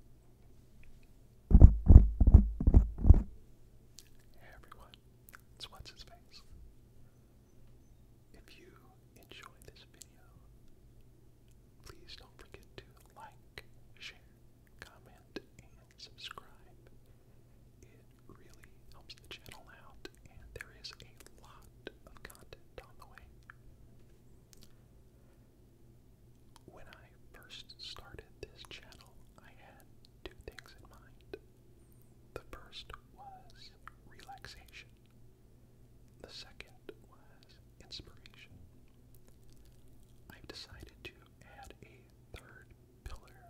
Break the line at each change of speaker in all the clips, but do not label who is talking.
Hey everyone, it's What's His Face. If you enjoy this video, please don't forget to like, share, comment, and subscribe. It really helps the channel out, and there is a lot of content on the way. When I first started this channel, I had two things in mind. The first was relaxation. The second was inspiration. i decided to add a third pillar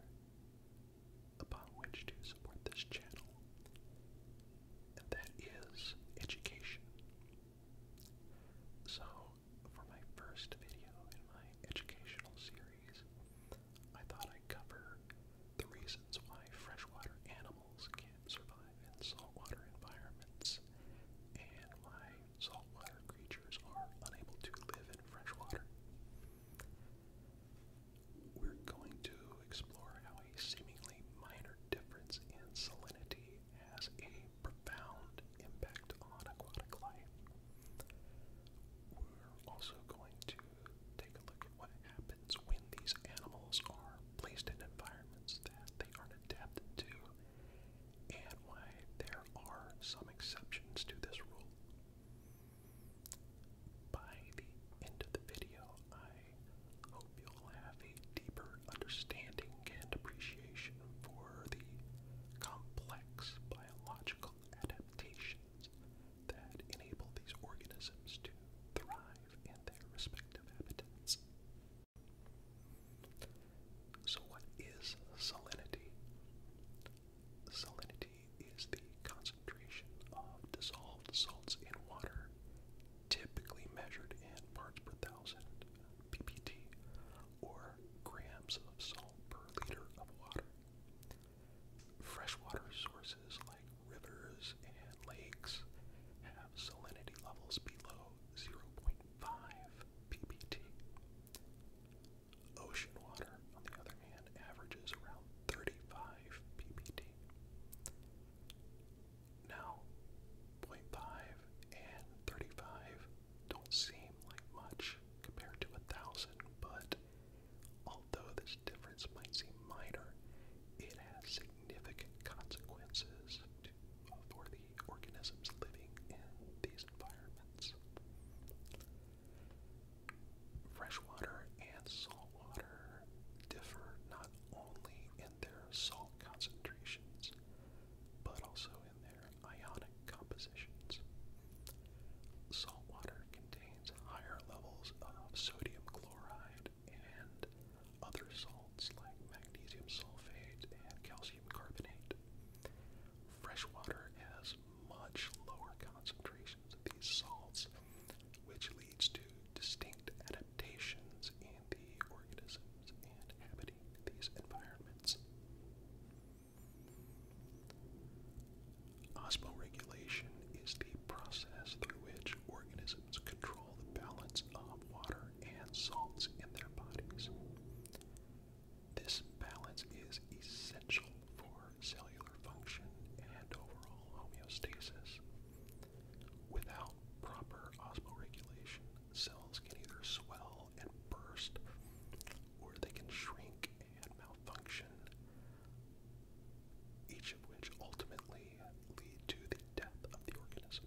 upon which to support this channel, and that is education. So for my first video in my educational series, I thought I'd cover the reasons why freshwater animals can't survive in saltwater environments and why saltwater creatures are unable to live in freshwater. We're going to explore how a seemingly minor difference in salinity has a profound impact on aquatic life. We're also going to take a look at what happens when these animals are placed in environments that they aren't adapted to and why there are some exceptions to this rule. By the end of the video, I hope will have a deeper understanding and appreciation for the complex biological adaptations that enable these organisms to thrive in their respective habitats. So, what is salinity? Salinity is the concentration of dissolved salts in water, typically measured in parts per thousand, ppt, or grams of salt per liter of water. Freshwater sources like rivers and lakes have salinity levels below 0.5 ppt. Ocean water, on the other hand, averages around 35 ppt. Now, 0.5 and 35 don't seem like much compared to 1,000, but although this difference might seem minor, it has significant consequences for the organisms living in these environments. Freshwater and saltwater differ not only in their salt concentrations, but also in their ionic compositions. Salt water contains higher levels of sodium chloride and other salts like magnesium sulfate and calcium carbonate. Fresh water has much lower concentrations of these salts, which leads to distinct adaptations in the organisms inhabiting these environments. Osmoregulation is the process through which organisms control the balance of water and salts in their bodies. This balance is essential for cellular function and overall homeostasis. Without proper osmoregulation, cells can either swell and burst, or they can shrink and malfunction, each of which ultimately lead to the death of the organism.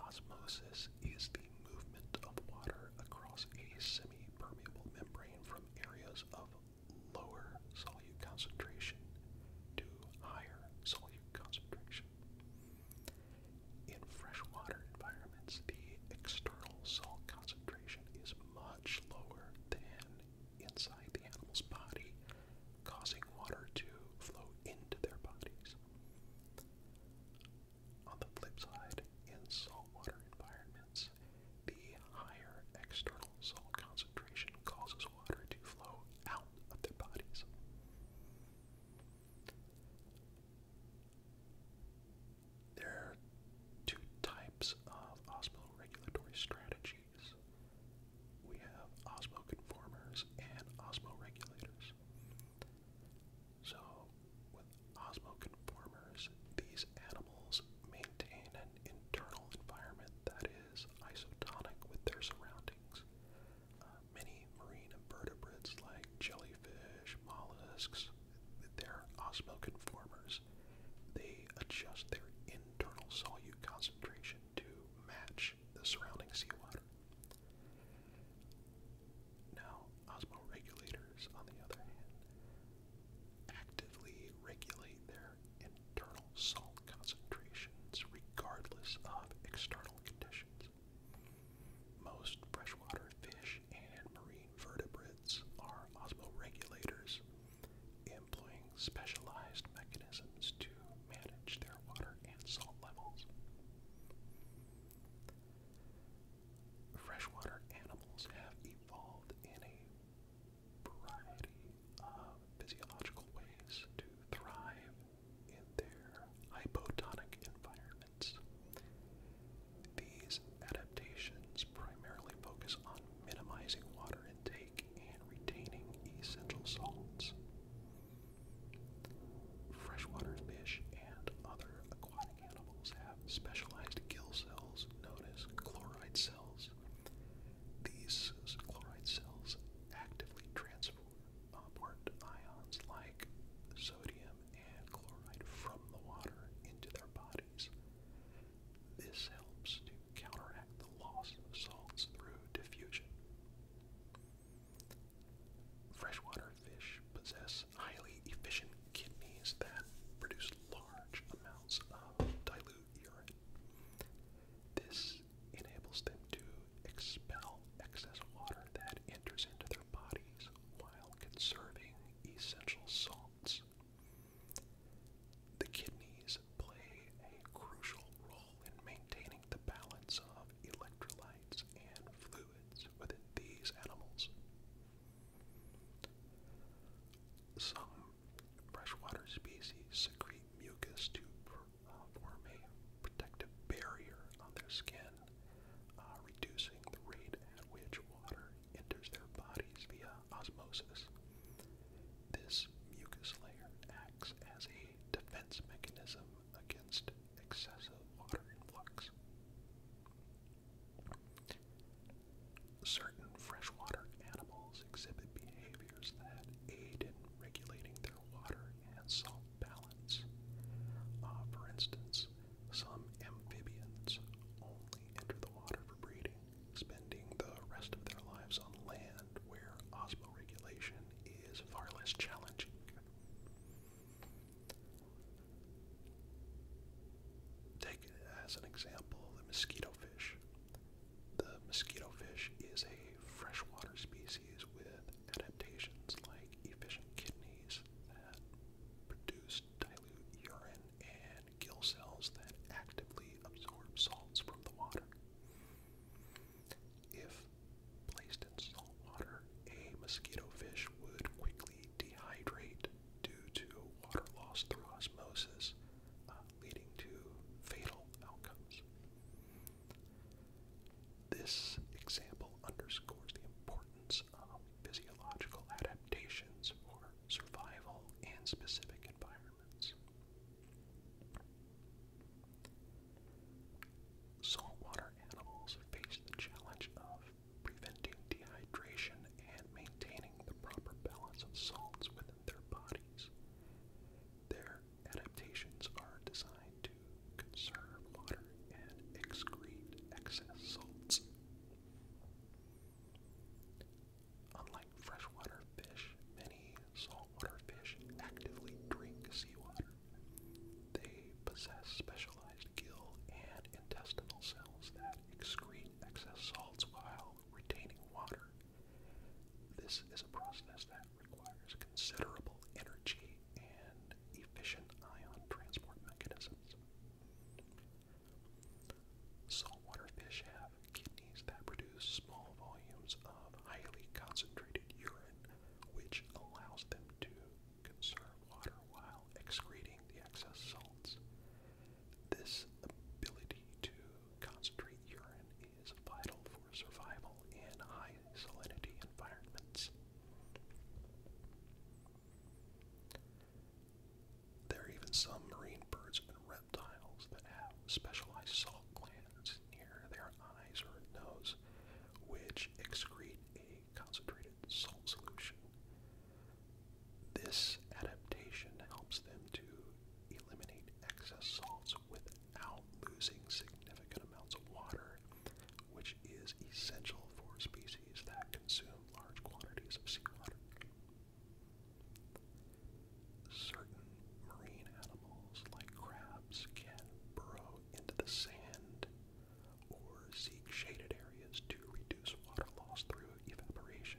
Osmosis is the movement of water across a semi permeable membrane from areas of lower solute concentration to higher solute concentration. In freshwater environments, the external salt concentration is much lower than inside the animal's body, causing water to flow into their bodies. On the flip side, in saltwater environments, the higher external salt concentration causes causes water to flow out of their bodies. There are two types of osmoregulatory strategies. We have osmoconformers and osmoregulators. So, with osmoconformers, these animals maintain internal environment that is isotonic with their surroundings. Uh, many marine invertebrates like jellyfish, mollusks, they osmoconformers. They adjust their internal solute concentration to match the surrounding seawater. Now, osmoregulators, on the other hand, actively regulate their internal salt concentrations regardless of external conditions. Most freshwater fish and marine vertebrates are osmoregulators, employing specialized mechanisms to manage their water and salt levels. Freshwater animals have evolved in a variety of physiological ways to thrive in their hypotonic environments. These adaptations primarily focus on minimizing water intake and retaining essential salts. Freshwater fish and other aquatic animals have specialized gill cells known as chloride cells these chloride cells actively transport ions like sodium and chloride from the water into their bodies. This helps to counteract the loss of salts through diffusion. Freshwater fish possess highly efficient kidneys that produce large amounts of dilute this enables them to expel excess water that enters into their bodies while conserving essential salts. The kidneys play a crucial role in maintaining the balance of electrolytes and fluids within these animals. Some freshwater species secrete mucus to uh, form a protective barrier on their skin, uh, reducing the rate at which water enters their bodies via osmosis. This mucus layer acts as a defense mechanism against excessive water influx. Certain freshwater animals exhibit behaviors that aid in regulating their water and salt balance. Uh, for instance, some amphibians only enter the water for breeding, spending the rest of their lives on land where osmoregulation is far less challenging. Take as an example the mosquito the mosquito fish is a freshwater species with adaptations like efficient kidneys that produce dilute urine and gill cells that actively absorb salts from the water. If placed in saltwater, a mosquito fish would quickly dehydrate due to water loss through osmosis, uh, leading to fatal outcomes. This example underscores the importance of physiological adaptations for survival in specific environments. Saltwater animals face the challenge of preventing dehydration and maintaining maintaining the proper balance of salts within their bodies. Their adaptations are designed to conserve water and excrete excess salts. Unlike freshwater fish, many saltwater fish actively drink seawater. They possess specialized gill and intestinal cells that excrete excess salts while retaining water. This is a process that requires considerable energy and efficient ion transport mechanisms. Saltwater fish have kidneys that produce small volumes of highly concentrated urine, which allows them to conserve water while excreting the excess salts. This ability to concentrate urine is vital for survival in high salinity environments. There are even some marine birds and reptiles that have specialized salt glands near their eyes or nose, which excrete a concentrated salt solution. This adaptation helps them to eliminate excess salts without losing significant amounts of water, which is essential for species that consume large quantities of seawater. Certain marine animals, like crabs, can burrow into the sand or seek shaded areas to reduce water loss through evaporation.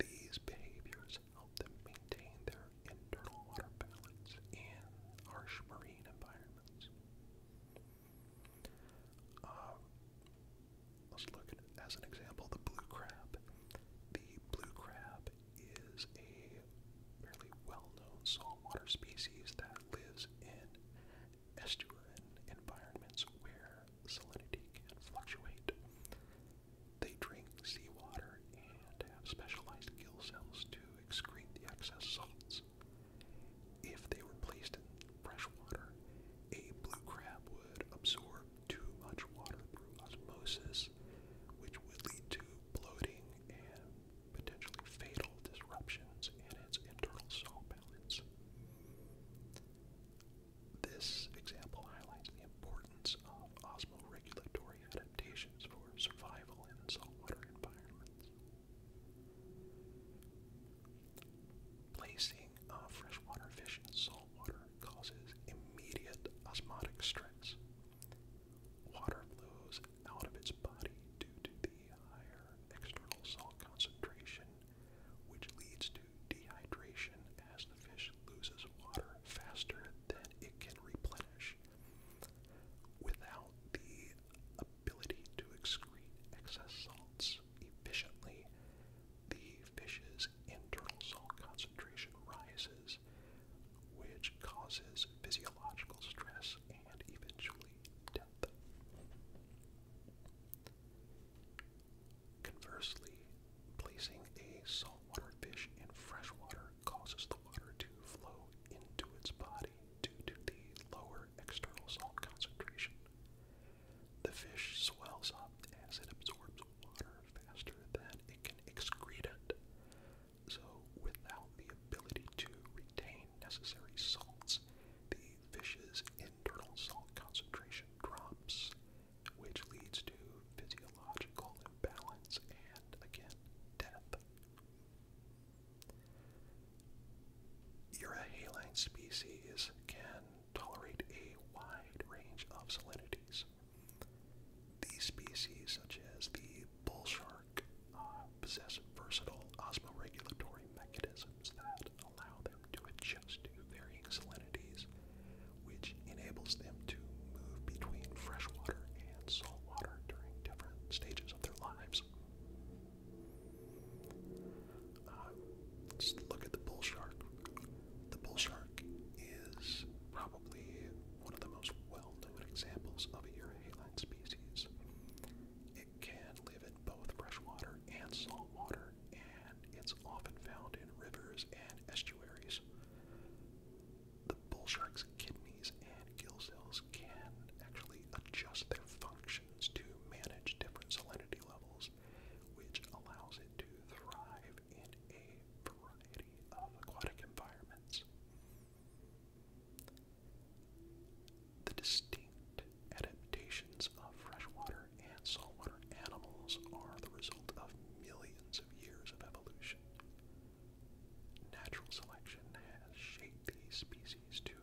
These behaviors help them maintain their internal water balance in harsh marine environments. Um, let's look at, as an example, the blue crab. The blue crab is a fairly well known saltwater species that lives in estuarine environments where salinity can fluctuate. They drink seawater and have specialized gill cells to excrete the excess salts. If they were placed in fresh water, a blue crab would absorb too much water through osmosis, which would lead to bloating and potentially fatal disruptions in its internal salt balance. This example highlights the importance of osmoregulatory adaptations for survival in saltwater environments. Placing a freshwater fish in saltwater causes immediate osmotic stress. Water flows out of its body due to the higher external salt concentration which leads to dehydration as the fish loses water faster than it can replenish. Without the ability to excrete excess salts efficiently, the fish's internal salt concentration rises, which causes physiological stress and eventually death. Conversely, placing a saltwater fish in freshwater causes the water to flow into its body due to the lower external salt concentration. The fish swells up as it absorbs water faster than it can excrete it. So, without the ability to retain necessary salts, the fish's internal salt concentration drops, which leads to physiological imbalance and, again, death. haline species can tolerate a wide range of salinities. These species, such as the bull shark, uh, possess versatile osmoregulatory mechanisms that allow them to adjust to varying salinities, which enables them to move between freshwater and saltwater during different stages of their lives. Uh, let's look at the bull shark. The bull shark is probably one of the most well known examples of a euryhaline species can live in both freshwater and saltwater, and it's often found in rivers and estuaries. The bull shark's kidneys and gill cells can actually adjust their functions to manage different salinity levels, which allows it to thrive in a variety of aquatic environments. The distinct adaptations of freshwater and saltwater animals are the result of millions of years of evolution. Natural selection has shaped these species to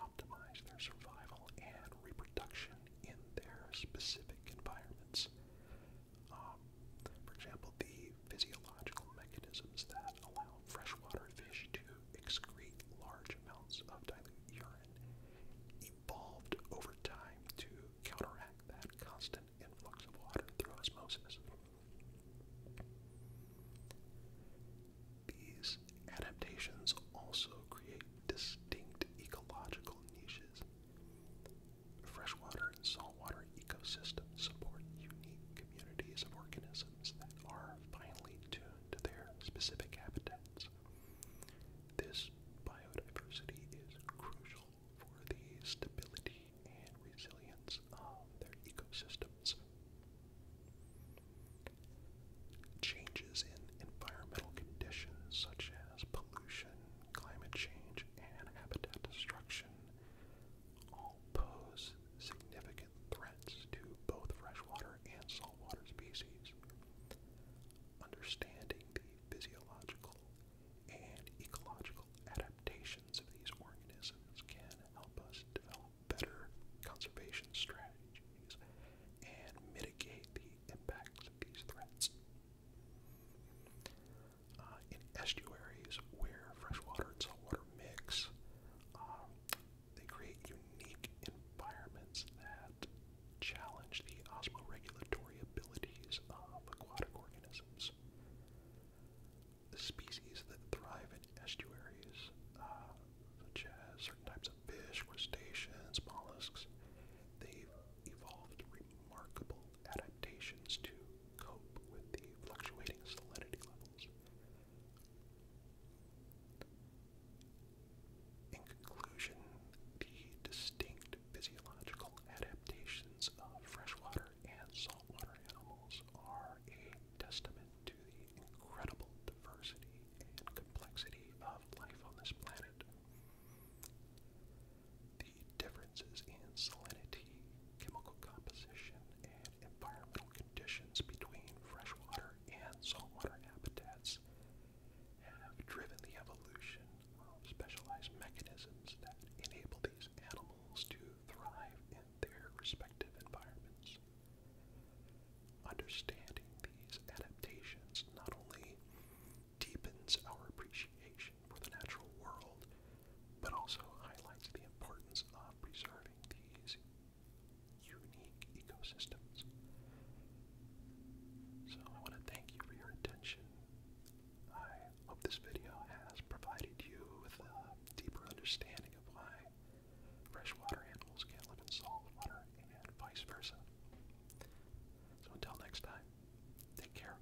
optimize their survival and reproduction in their specific environments. Um, for example, the physiological mechanisms that allow freshwater fish to excrete large amounts of dilute urine evolved over time to counteract that constant influx of water through osmosis. These adaptations also create distinct ecological niches. Freshwater and saltwater ecosystems support unique communities of organisms that are finely tuned to their specific habitats. This biodiversity is crucial for the stability and resilience of their ecosystems. Changes in environmental conditions such as pollution, climate change, and habitat destruction all pose significant threats to both freshwater and saltwater species. Understanding the physiological and ecological adaptations of these organisms can help us develop better conservation strategies and mitigate the impacts of these threats. Uh, in estuaries where freshwater and saltwater mix, uh, they create unique environments that challenge the osmoregulatory abilities of aquatic organisms. The species that thrive in estuaries, uh, such as certain types of fish, crustaceans, mollusks, they've evolved remarkable adaptations to cope with the fluctuating salinity levels. In conclusion, the distinct physiological adaptations of freshwater and saltwater animals are a testament to the incredible diversity and complexity of life on this planet. The differences in salinity, chemical composition, and environmental conditions between freshwater and saltwater habitats have driven the evolution of specialized mechanisms that enable these animals to thrive in their respective environments. Understanding these adaptations not only deepens our appreciation for the natural world, but also highlights the importance of preserving these unique ecosystems. So I want to thank you for your attention. I hope this video has provided you with a deeper understanding of why freshwater animals can not live in saltwater and vice versa. So until next time, take care.